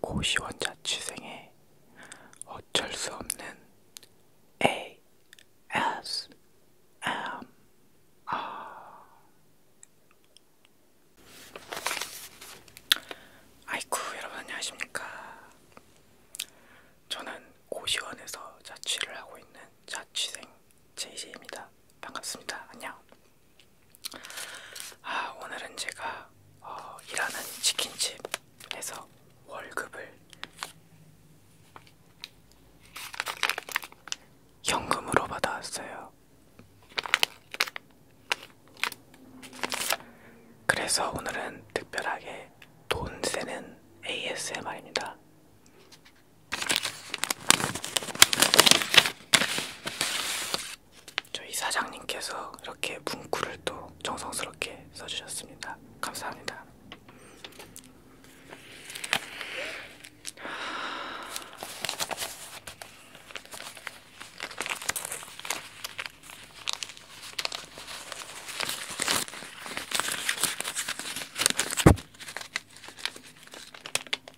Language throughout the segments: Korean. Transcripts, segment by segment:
고시원자취생의 어쩔 수 없는 A S M R 아이쿠 여러분 안녕하십니까 저는 고시원에서 자취를 하고 있는 자취생 JJ입니다. 반갑습니다. 안녕. 아, 오늘은 제가 어, 일하는 치킨집에서 월급을 현금으로 받아왔어요. 그래서 오늘은 특별하게 돈 세는 ASMR입니다. 저희 사장님께서 이렇게 문구를 또 정성스럽게 써주셨습니다. 감사합니다.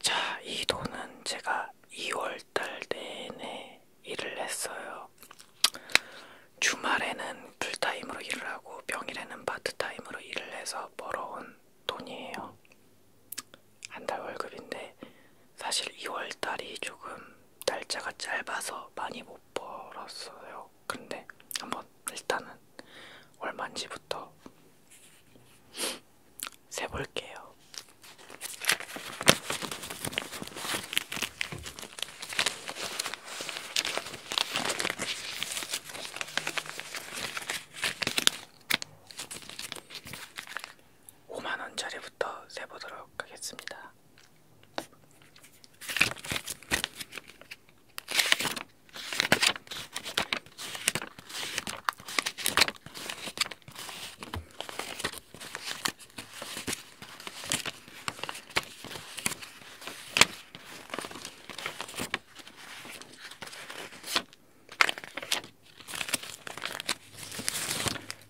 자, 이 돈은 제가 2월달 내내 일을 했어요. 주말에는 풀타임으로 일을 하고 평일에는 파트타임으로 일을 해서 벌어온 돈이에요. 한 달 월급인데 사실 2월달이 조금 날짜가 짧아서 많이 못 벌었어요. 근데 한번 일단은 얼마인지부터 세볼게요. 오만원짜리부터 세보도록 하겠습니다.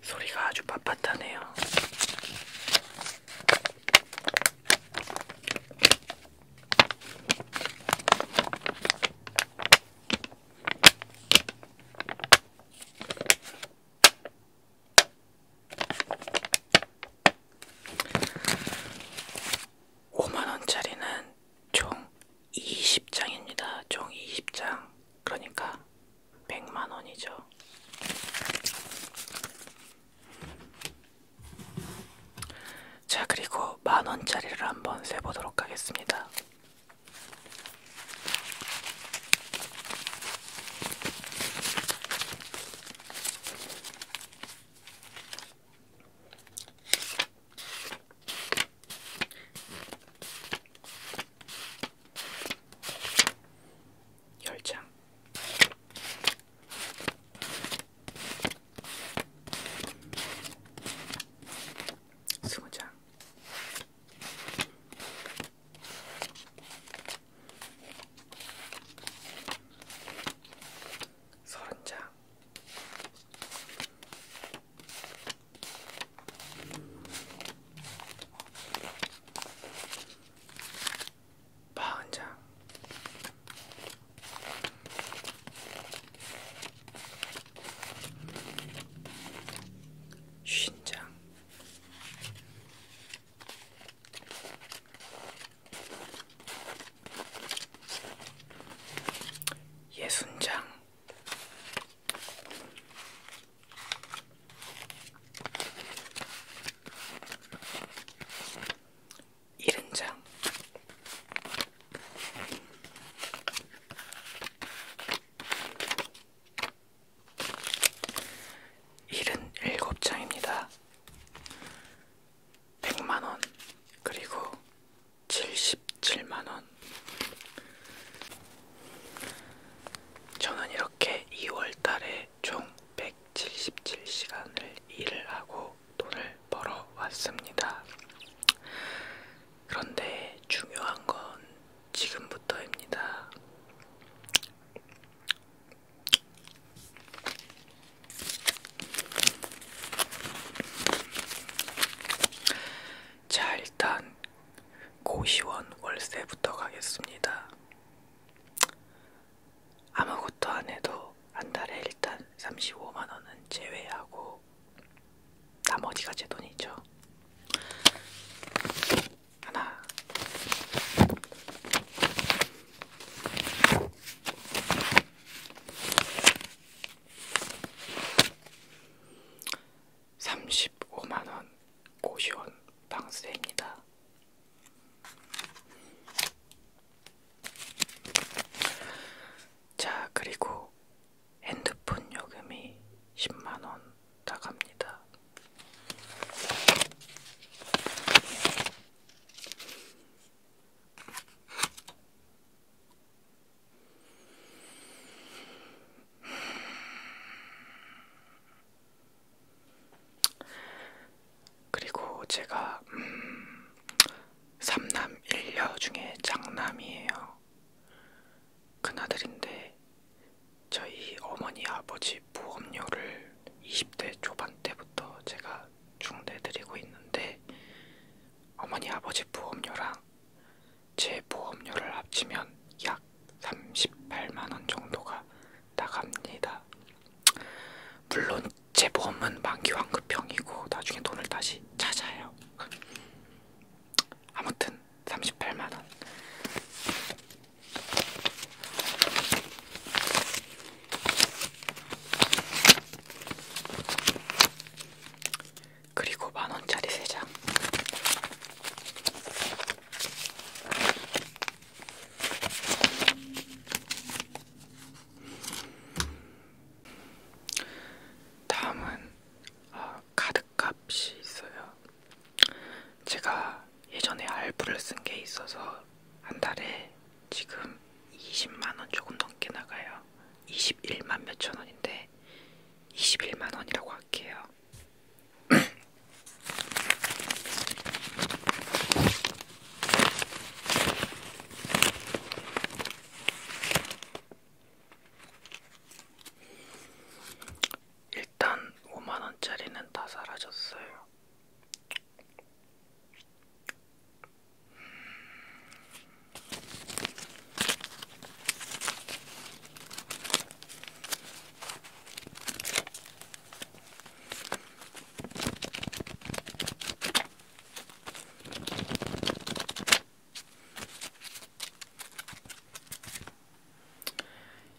소리가 아주 빳빳하네요. 5만원짜리는 총 20장입니다. 총 20장. 그러니까 100만원이죠. 자, 그리고 만원짜리를 한번 세보도록 하겠습니다. 열장 수고장 서른장 파은장 쉰장 예순장 70장 일흔 일곱 장입니다. 100만원, 그리고 77만원. 저는 이렇게 2월달에 총 177시간을 일을 하고 돈을 벌어 왔습니다. 그런데 중요한 건 지금부터입니다. 자, 일단 고시원 월세부터 가겠습니다. 아무것도 안 해도 한 달에 일단 35만원은 제외하고 나머지가 제 돈이죠. 하나. 삼십오만원 고시원 방세입니다. 자, 그리고 핸드폰 요금이 10만원 나갑니다. 그리고 제가 음, 3남 1녀 중에 장남이에요. 큰아들인데 저희 어머니 아버지 보험료를 20대 초반 때부터 제가 중대드리고 있는데 어머니 아버지 보험료랑 제 보험료를 합치면 약 38만원 정도가 나갑니다. 물론 제 보험은 만기 환급형이고 나중에 돈을 다시 찾아요. 아무튼 38만 원. 그리고 만 원짜리 세 장. 다음은 어, 아, 카드값이 있어요. 제가 예전에 알부를 쓴 게 있어서 한 달에 지금 20만원 조금 넘게 나가요. 21만 몇천 원인데 21만 원이라고 할게요. 일단 5만원짜리는 다 사라졌어요.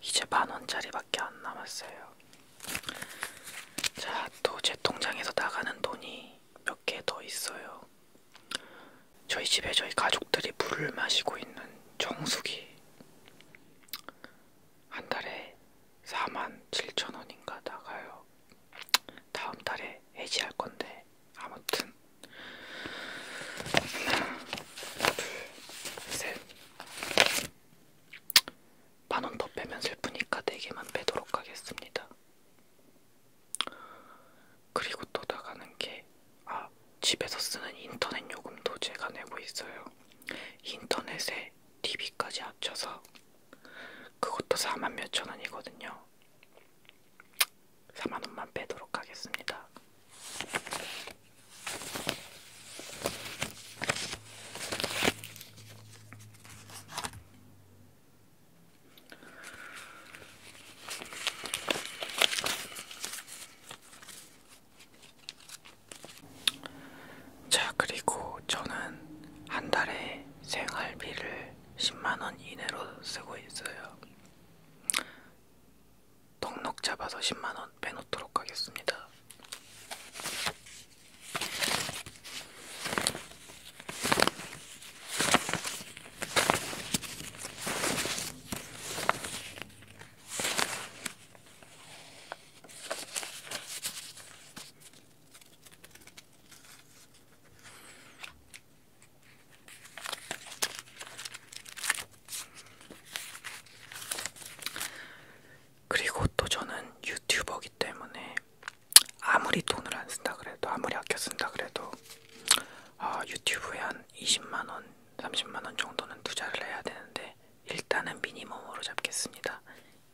이제 만원짜리밖에 안 남았어요. 자, 또 제 통장에서 나가는 돈이 몇 개 더 있어요. 저희 집에 저희 가족들이 물을 마시고 있는 정수기 한 달에 4만 7천 원인가 나가요. 다음 달에 해지할 건데 아무튼 하나, 둘, 셋. 만원 더 빼면 슬프니까 네 개만 빼도록 하겠습니다. 그리고 또 나가는 게, 아, 집에서 쓰는 인터넷 요금도 제가 내고 있어요. 인터넷에 TV까지 합쳐서 그것도 4만 몇천 원이거든요. 4만 원만 빼도록 하겠습니다. 자, 그리고 저는 한 달에 생활비를 10만원 이내로 쓰고 있어요. 넉넉 잡아서 10만원 빼놓도록 하겠습니다. 그리고 또 저는 유튜버기 때문에 아무리 돈을 안 쓴다 그래도 아무리 아껴 쓴다 그래도 어, 유튜브에 한 20만원 30만원 정도는 투자를 해야 되는데 일단은 미니멈으로 잡겠습니다.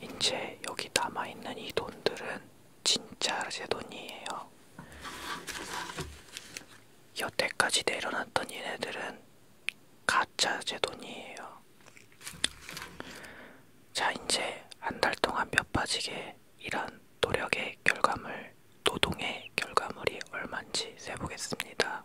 이제 여기 남아있는 이 돈들은 진짜 제 돈이에요. 여태까지 내려놨던 얘네들은 가짜 제 돈이에요. 자, 이제 한 달 동안 뼈 빠지게 이런 노력의 결과물 노동의 결과물이 얼만지 세보겠습니다.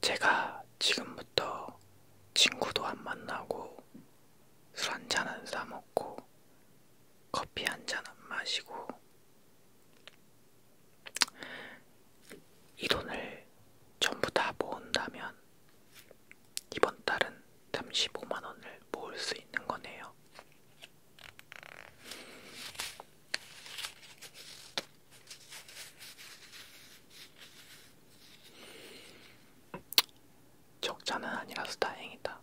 제가 지금부터 친구도 안 만나고 술 한잔은 싸먹고 커피 한잔은 마시고 이 돈을 전부 다 모은다면 이번 달은 35만원을 모을 수 있는 거네요. 적자는 아니라서 다행이다.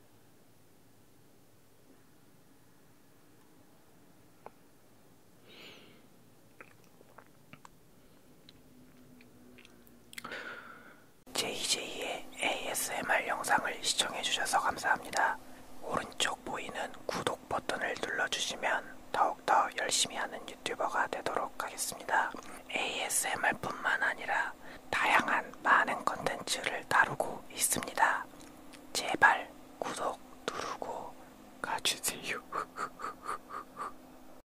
JJ의 ASMR 영상을 시청해주셔서 감사합니다. 오른쪽 보이는 구독 버튼을 눌러주시면 더욱더 열심히 하는 유튜버가 되도록 하겠습니다. ASMR 뿐만 아니라 다양한 많은 컨텐츠를 다루고 있습니다. 제발 구독 누르고 가주세요.